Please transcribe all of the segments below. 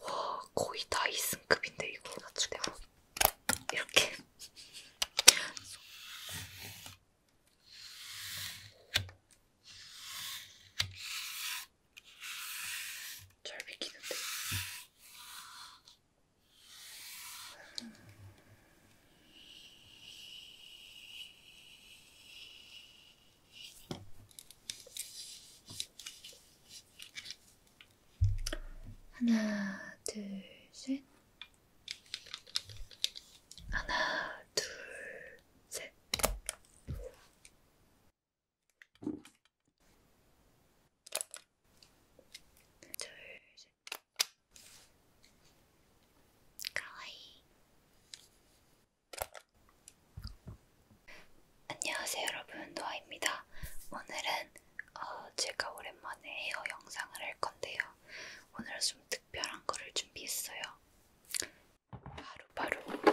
와 거의 다이슨급인데 이거 아주 대박 이렇게 잘 비키는데 하나, 둘, 셋. 하나, 둘, 셋. 둘, 셋. 가와이. 안녕하세요 여러분 노아입니다. 오늘은 어, 제가 오랜만에 헤어 영상을 할 건데요. 오늘은 좀 특별한 거를 준비했어요. 바로바로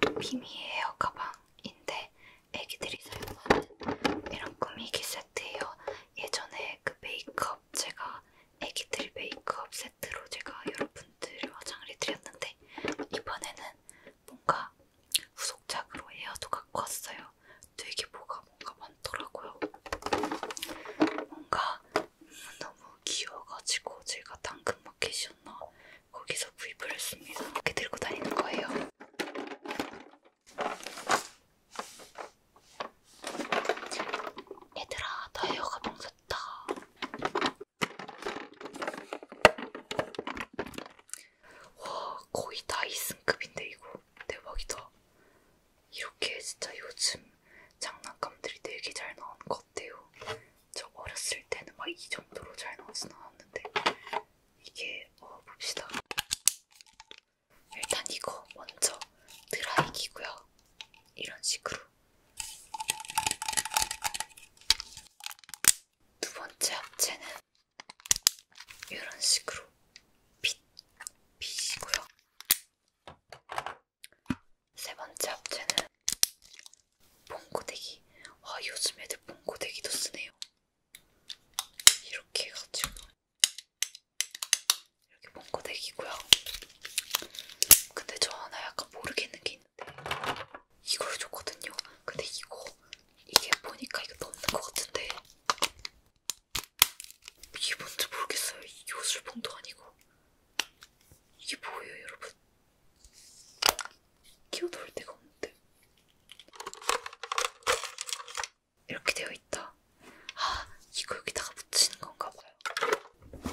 바로 비미의 헤어 가방인데 애기들이 사용하는 이런 꾸미기 세트예요. 예전에 그 메이크업 제가 애기들 메이크업 세트로 제가 여러분들 화장을 해드렸는데 이번에는 뭔가 후속작으로 에어도 갖고 왔어요. 되게 뭐가 뭔가 많더라고요. 뭔가 너무 귀여워가지고 제가 당근마켓이었나 거기서 구입을 했습니다. 이렇게 들고 다니는 거예요. 얘들아, 다이어가 봉졌다. 와, 거의 다이슨급인데 이거 대박이다. 이렇게 진짜 요즘 장난감들이 되게 잘 나온 것 같아요. 저 어렸을 때는 막 이 정도로 잘 나오진 않았는데 이게 어 봅시다. 일단 이거 먼저 드라이기고요. 이런 식으로. 두 번째 합체는 이런 식으로 빛, 빛이고요. 세 번째 합체는 봉고데기. 와, 요즘 애들 봉고데기도 쓰네요. 이렇게 해가지고 이렇게 봉고데기고요. 근데 저 하나 약간 모르겠는 게 있는데 이걸 줬거든요. 근데 이거 이게 보니까 이거 넘는 것 같은데 이게 뭔지 모르겠어요. 이 요술봉도 아니고 이게 뭐예요, 여러분? 끼워 넣을 데가 없는데 이렇게 되어 있다. 아, 이거 여기다가 붙이는 건가 봐요.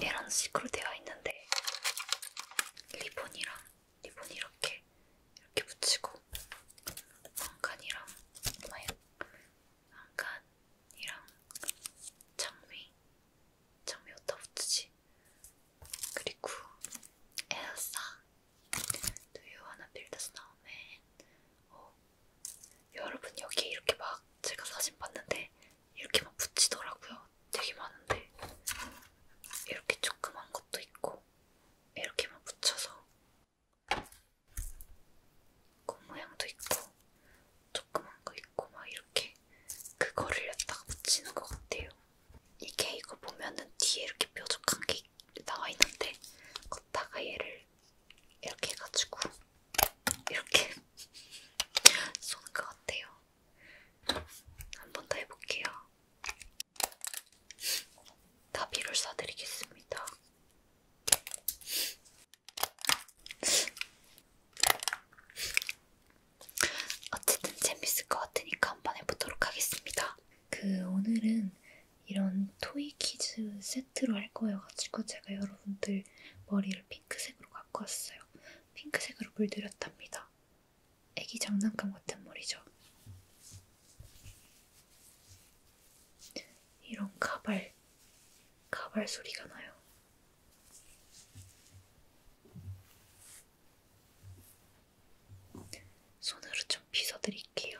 이런 식으로 되어 있는데 리본이랑 리본 이렇게 이렇게 붙이고 왕관이랑 뭐야? 왕관이랑 장미 장미 어디다 붙이지? 그리고 엘사 Do you wanna build a snowman? 어, 여러분 여기 이렇게 막 제가 사진 봤는데 이렇게 막 붙이더라고요. 되게 많은데 이렇게 조그만 것도 있고 이렇게만 붙여서 꽃 모양도 있고 조그만 거 있고 막 이렇게 그거를 갖다가 붙이는 것 같아요. 이게 이거 보면은 뒤에 이렇게 뾰족한 게 이렇게 나와 있는데 걷다가 얘를 이렇게 해가지고 이렇게 쏘는 것 같아요. 한 번 더 해볼게요. 나비를 쏴드리겠습니다. 어쨌든 재밌을 것 같으니까 한번 해보도록 하겠습니다. 그 오늘은 이런 토이 키즈 세트로 할 거여가지고 제가 여러분들 머리를 핑크색으로 갖고 왔어요. 핑크색으로 물들였답니다. 애기 장난감 같은 머리죠. 이런 가발, 가발 소리가 나요. 손으로 좀 빗어드릴게요.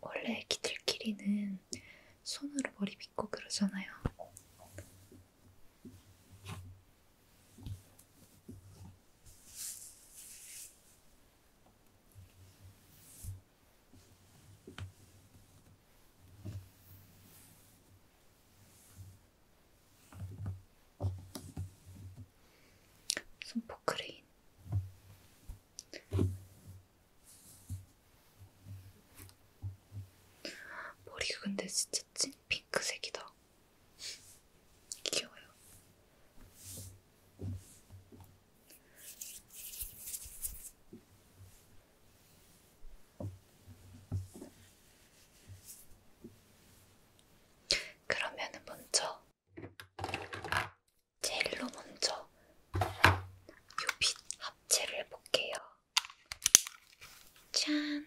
원래 애기들끼리는 손으로 머리 빗고 그러잖아요. 손포크레인 머리가 근데 진짜 찐 핑크색이다. 귀여워요. 그러면은 먼저 젤로 먼저 요빛 합체를 볼게요. 짠!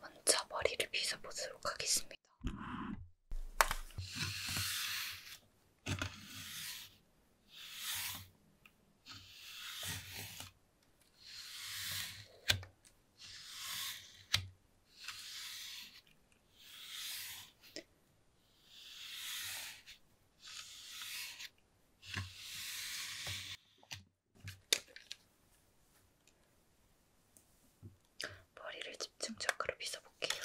먼저 머리를 빗어보도록 하겠습니다. 머리를 집중적으로 빗어볼게요.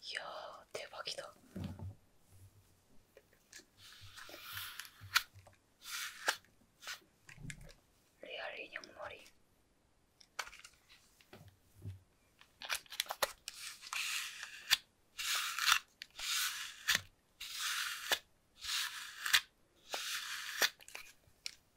이야, 대박이다. 리얼 인형머리.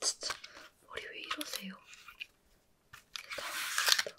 진짜 머리 왜 이러세요? 당황스럽다.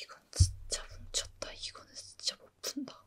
이건 진짜 뭉쳤다. 이거는 진짜 못 푼다.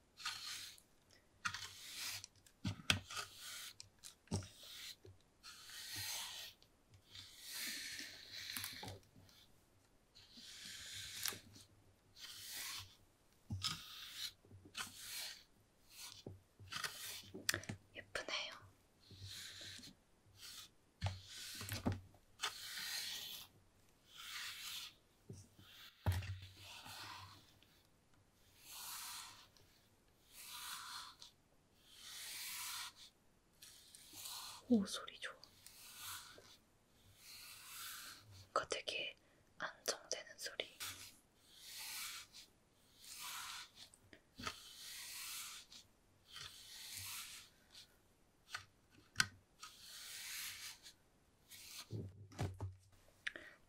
예쁘네요. 오, 소리 좋아. 뭔가 되게 안정되는 소리.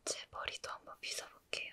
제 머리도 한번 빗어볼게요.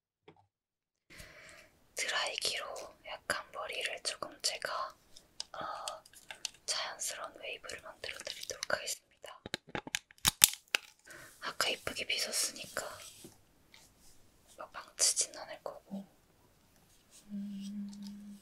드라이기로 약간 머리를 조금 제가 어, 자연스러운 웨이브를 만들어 드리도록 하겠습니다. 아까 이쁘게 빗었으니까 막 망치진 않을 거고 음...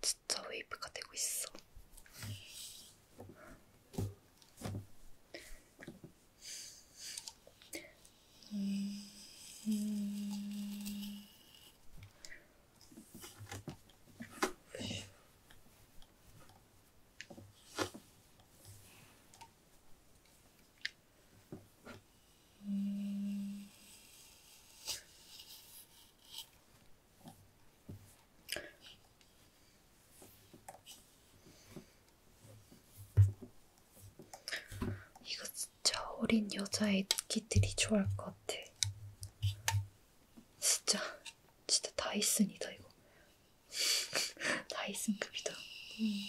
진짜 웨이브가 되고 있어. 음, 음. 음... 이거 진짜 어린 여자 애기들이 좋아할 것 같아. 진짜, 진짜 다이슨이다, 이거. 다이슨급이다. 음.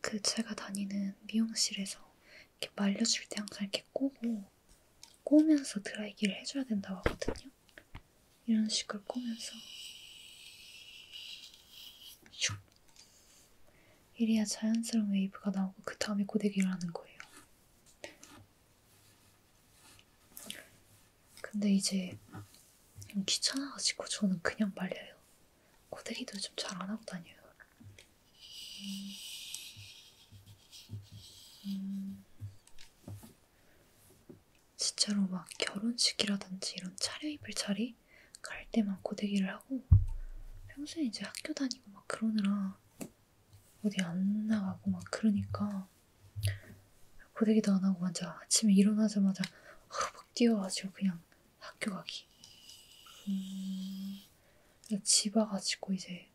그 제가 다니는 미용실에서 이렇게 말려줄 때 항상 이렇게 꼬고 꼬면서 드라이기를 해줘야 된다고 하거든요. 이런 식으로 꼬면서 슉 이래야 자연스러운 웨이브가 나오고 그 다음에 고데기를 하는 거예요. 근데 이제 좀 귀찮아가지고 저는 그냥 말려요. 고데기도 좀 잘 안 하고 다녀요. 음, 진짜로 막 결혼식이라든지 이런 차려입을 자리 갈 때만 고데기를 하고 평소에 이제 학교 다니고 막 그러느라 어디 안 나가고 막 그러니까 고데기도 안 하고 완전 아침에 일어나자마자 막 뛰어가지고 그냥 학교 가기. 음, 집 와가지고 이제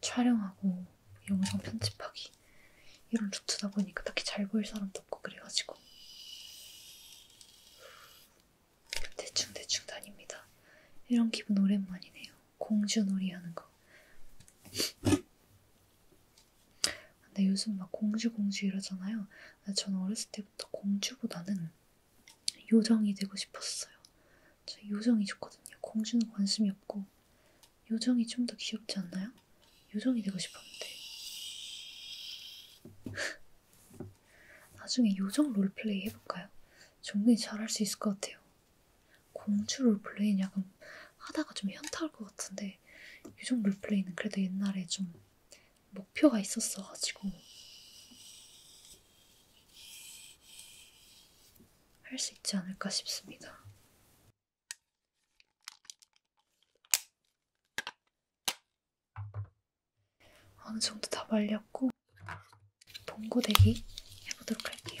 촬영하고 영상 편집하기 이런 루트다 보니까 딱히 잘 보일 사람도 없고 그래가지고 대충 대충 다닙니다. 이런 기분 오랜만이네요. 공주놀이 하는 거. 근데 요즘 막 공주 공주 이러잖아요. 저는 어렸을 때부터 공주보다는 요정이 되고 싶었어요. 저 요정이 좋거든요. 공주는 관심이 없고 요정이 좀 더 귀엽지 않나요? 요정이 되고 싶었는데. 나중에 요정 롤플레이 해볼까요? 종근이 잘할 수 있을 것 같아요. 공주 롤플레이는 약간 하다가 좀 현타올 것 같은데 유정 롤플레이는 그래도 옛날에 좀 목표가 있었어가지고 할 수 있지 않을까 싶습니다. 어느 정도 다 말렸고 봉고데기 해보도록 할게요.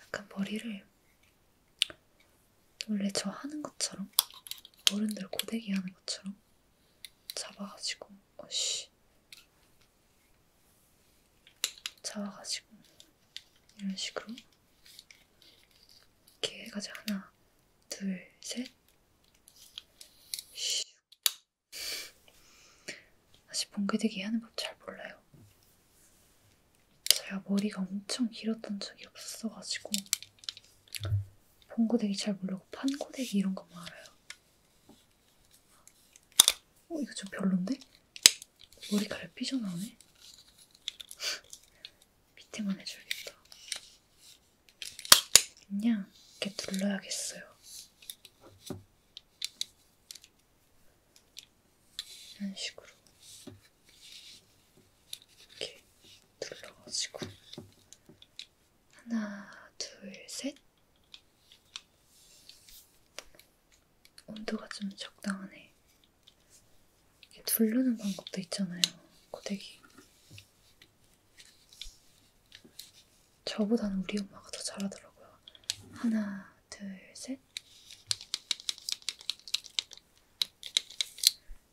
약간 머리를 원래 저 하는 것처럼 어른들 고데기 하는 것처럼 잡아가지고 어씨 잡아가지고 이런 식으로 이렇게 해가지고 하나 둘셋 사실 봉개되기 하는 법 잘 몰라요. 제가 머리가 엄청 길었던 적이 없었어가지고 봉고데기 잘 모르고 판고데기 이런 것만 알아요. 어 이거 좀 별론데? 머리카락 삐져나오네? 밑에만 해줘야겠다. 그냥 이렇게 눌러야겠어요. 이런 식으로 이렇게 눌러가지고 하나, 둘, 셋 온도가 좀 적당하네. 이렇게 두르는 방법도 있잖아요. 고데기. 저보다는 우리 엄마가 더 잘하더라고요. 하나, 둘, 셋.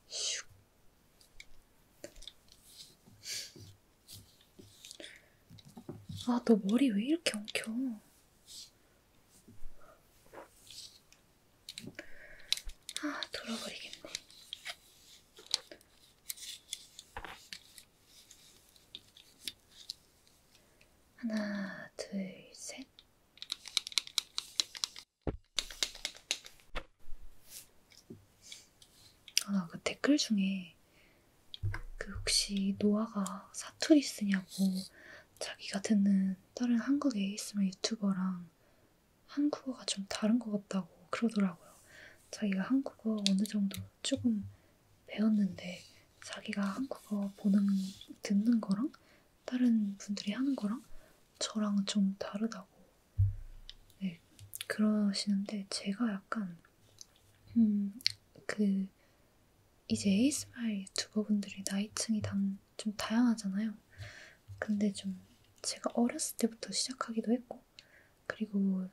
슉. 아, 너 머리 왜 이렇게 엉켜? 아, 돌아버리겠네. 하나, 둘, 셋. 아, 그 댓글 중에 그 혹시 노아가 사투리 쓰냐고 자기가 듣는 다른 한국에 있으면 유튜버랑 한국어가 좀 다른 것 같다고 그러더라고요. 자기가 한국어 어느 정도 조금 배웠는데 자기가 한국어 보는 듣는 거랑 다른 분들이 하는 거랑 저랑 좀 다르다고 네, 그러시는데 제가 약간 음그 이제 에이스마일 유튜버분들이 나이층이 좀 다양하잖아요. 근데 좀 제가 어렸을 때부터 시작하기도 했고 그리고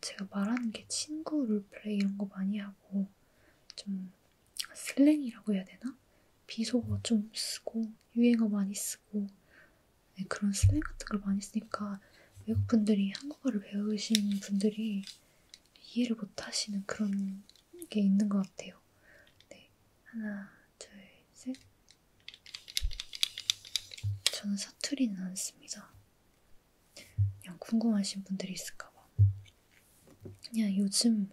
제가 말하는 게 친구 롤플레이 이런 거 많이 하고 좀 슬랭이라고 해야 되나? 비속어 좀 쓰고 유행어 많이 쓰고 네, 그런 슬랭 같은 걸 많이 쓰니까 외국분들이 한국어를 배우신 분들이 이해를 못하시는 그런 게 있는 것 같아요. 네, 하나, 둘, 셋. 저는 사투리는 안 씁니다. 그냥 궁금하신 분들이 있을까봐. 그냥 요즘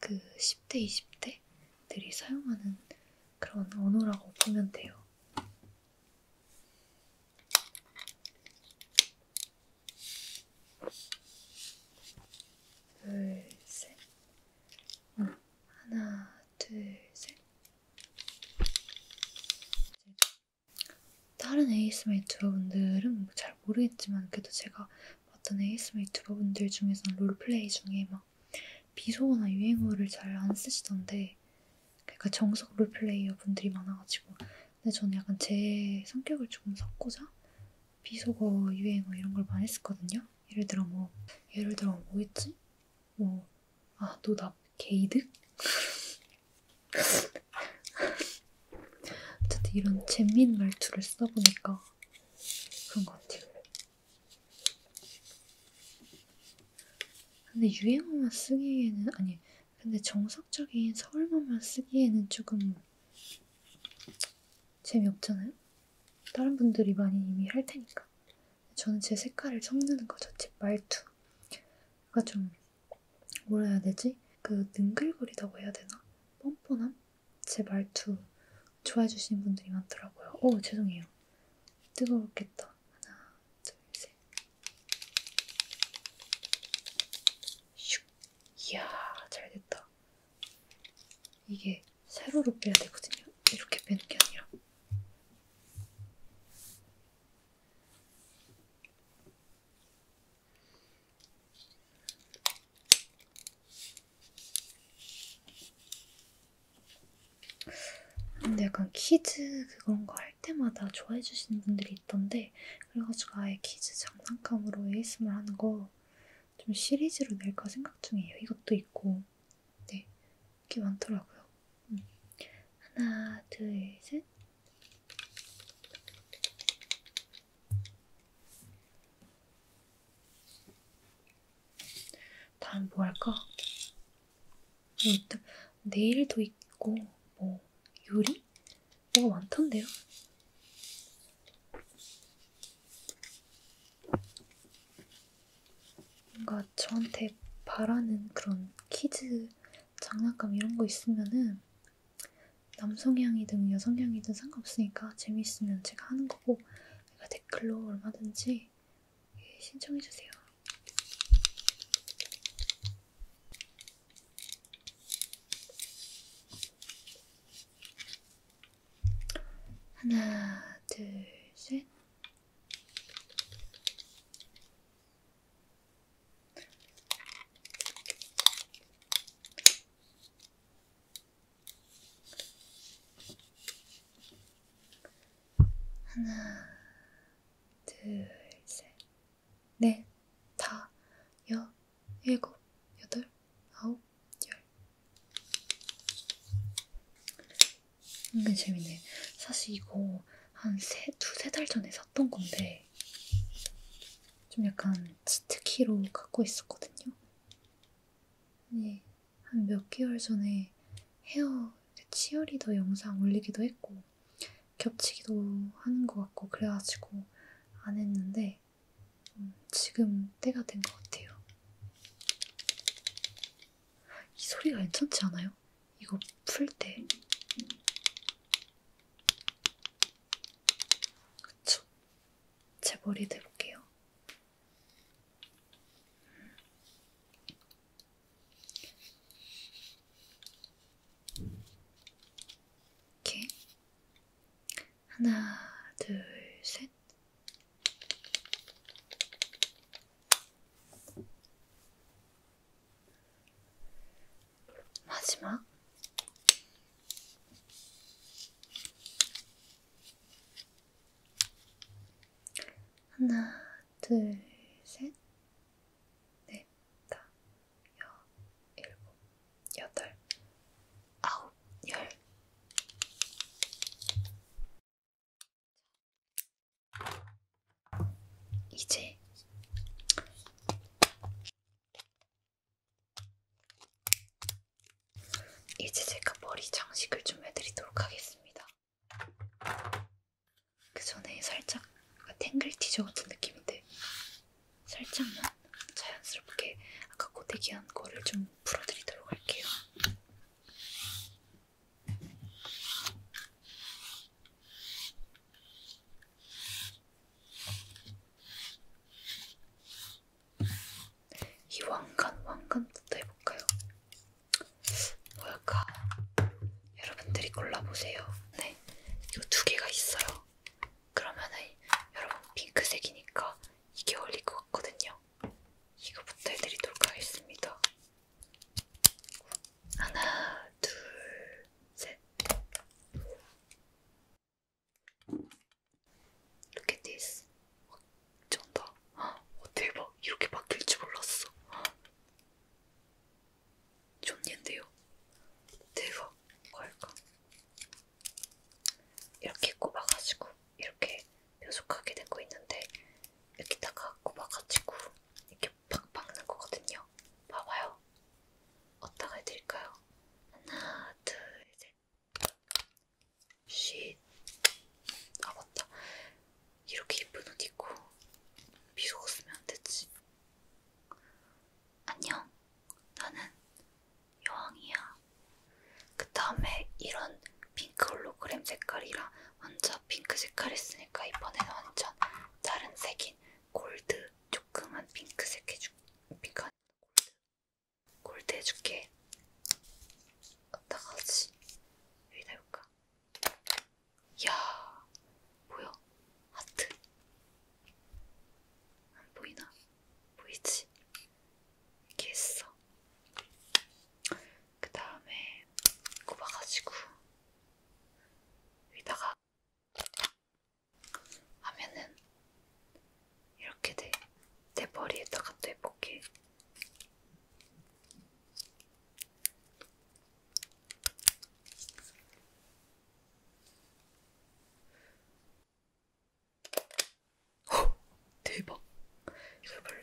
그 10대, 20대들이 사용하는 그런 언어라고 보면 돼요. 둘, 셋. 응. 어, 하나, 둘, 셋. 다른 ASMR 유튜버분들은 뭐 잘 모르겠지만 그래도 제가 봤던 ASMR 유튜버분들 중에서는 롤플레이 중에 막 비속어나 유행어를 잘 안 쓰시던데 그러니까 정석 롤플레이어 분들이 많아가지고 근데 저는 약간 제 성격을 조금 섞고자 비속어, 유행어 이런 걸 많이 했었거든요 예를 들어 뭐 예를 들어 뭐였지? 뭐 아, 노답 게이득? 어쨌든 이런 재밌는 말투를 써보니까 그런 것 같아요. 근데 유행어만 쓰기에는, 아니, 근데 정석적인 서울말만 쓰기에는 조금 재미없잖아요? 다른 분들이 많이 이미 할 테니까. 저는 제 색깔을 섞는 거죠. 제 말투가 좀 뭐라 해야 되지? 그 능글거리다고 해야 되나? 뻔뻔함? 제 말투 좋아해 주시는 분들이 많더라고요. 오 죄송해요. 뜨거웠겠다. 하나, 둘, 셋. 슉. 이야 잘 됐다. 이게 세로로 빼야 되거든요. 이렇게 빼는 게 아니라. 근데 약간 키즈 그런 거 할 때마다 좋아해 주시는 분들이 있던데 그래가지고 아예 키즈 장난감으로 ASMR 하는 거 좀 시리즈로 낼까 생각 중이에요. 이것도 있고 네게 많더라고요. 음. 하나, 둘, 셋. 다음 뭐 할까? 일단 네일도 있고 뭐 요리? 뭐가 많던데요? 뭔가 저한테 바라는 그런 키즈 장난감 이런 거 있으면은 남성향이든 여성향이든 상관없으니까 재미있으면 제가 하는 거고 제가 댓글로 얼마든지 신청해주세요. 하나, 둘, 셋. 하나, 둘, 셋, 넷, 네, 다, 여, 일곱, 여덟, 아홉, 열. 은근 재밌네. 사실 이거 한 세, 두세 달 전에 샀던 건데 좀 약간 치트키로 갖고 있었거든요. 네, 예, 한몇 개월 전에 헤어 치어리더 영상 올리기도 했고 겹치기도 하는 것 같고 그래가지고 안 했는데 음, 지금 때가 된 것 같아요. 이 소리가 괜찮지 않아요? 이거 풀 때. 그쵸? 제 머리도 해볼게요. 이렇게. 하나, 둘, 셋. 마지막 하나, 둘, 셋, 넷, 다, 여, 일곱, 여덟, 아홉, 열. 이제 이제 제가 머리 장식을 좀 해드리도록 하겠습니다. 그 전에 살짝 아, 탱글 티저 같은 느낌인데 살짝만 자연스럽게 아까 고데기한 거를 좀 풀어드리도록 할게요. 이 왕관, 왕관부터 해볼까요? 뭘까? 여러분들이 골라보세요. 네, 이거 두 개가 있어요. 그러면은 여러분 핑크색이니까 이게 어울릴 것 같거든요. 이거부터 해드리도록 하겠습니다. 하나, 둘, 셋. Look at this. 쩐다. 어, 대박. 이렇게 바뀔 줄 몰랐어. 존예인데요. 대박. 뭐할까? 이렇게 꼽아가지고 이렇게 뾰족하게 되고 있는데 여기다가 꼽아가지고 이렇게 팍 박는 거거든요. 봐봐요. 어디다가 해드릴까요? 하나, 둘, 셋. 쉿. 아 맞다. 이렇게 예쁜 옷 입고 미소 웃으면 안 되지. 안녕. 나는 여왕이야. 그 다음에 이런 핑크 홀로그램 색깔이라 먼저 핑크 색깔 했으니까 이번에는 완전 다른 색인 골드 조그만 핑크색 해줄 핑크 골드 골드 해줄게. 어떡하지? 여기다 해볼까? 야, 뭐야? 하트 안 보이나? 보이지? 이렇게 했어. 그 다음에 꼽아가지고 위다가 하면은 이렇게 돼. 내 머리에다가 또 해볼게. 오, 대박. 이걸 볼래?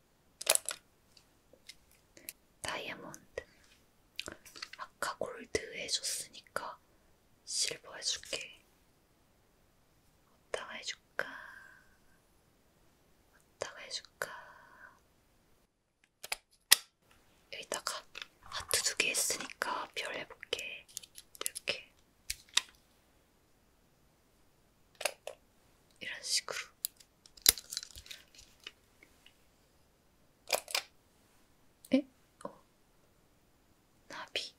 다이아몬드. 아까 골드 해줬으니까 실버 해줄게. 어디다가 해줄까? 어디다가 해줄까? 여기다가 하트 두 개 했으니까 별 해볼게. 이렇게. 이런 식으로. 에? 어. 나비.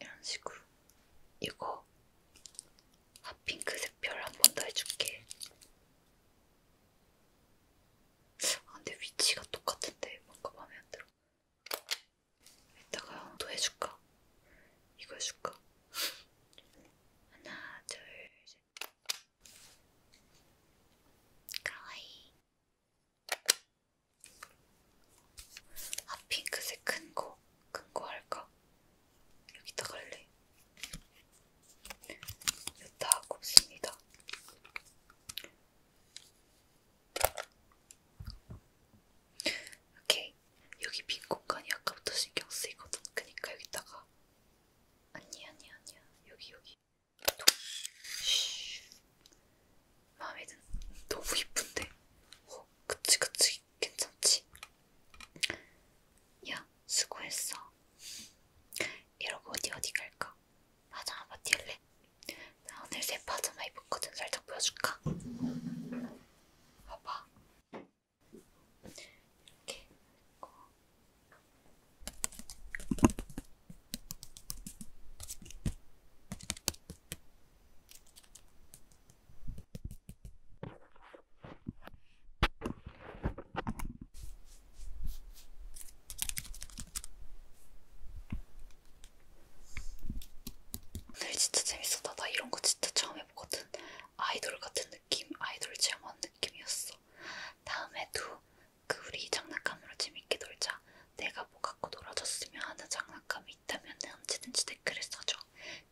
이런 식으로. 이거 핫핑크색 아, 별한 번 더 해줄게. 아, 근데 위치가 똑같은데 뭔가 마음에 안 들어. 이따가 형도 해줄까? 이거 해줄까? 하나, 둘, 셋. 가와이. 아, 핑크색 큰 거. 큰 거 할까? 여기다가 할래. 여기다 꼽습니다. 오케이. 여기 빈 공간이 아까부터 신경 쓰이거든. 그니까 여기다가 아니 아니 아니야. 여기 여기. 도... 마음에 든. 너무 이쁜데. 어, 그치 그치 괜찮지. 야 수고했어. 이러고 어디 어디 갈까? 맞아 아빠 뛸래? 나 오늘 새 파자마 입었거든. 살짝 보여줄까? 봐봐. 이렇게. 입고. 오늘 네, 진짜 재밌었다. 나 이런 거 진짜 처음 해보거든. 아이돌 같은 느낌, 아이돌 체험한 느낌이었어. 다음에도 그 우리 장난감으로 재밌게 놀자. 내가 뭐 갖고 놀아줬으면 하는 장난감이 있다면 언제든지 댓글에 써줘.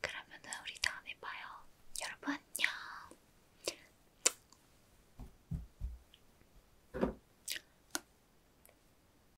그러면 우리 다음에 봐요. 여러분 안녕.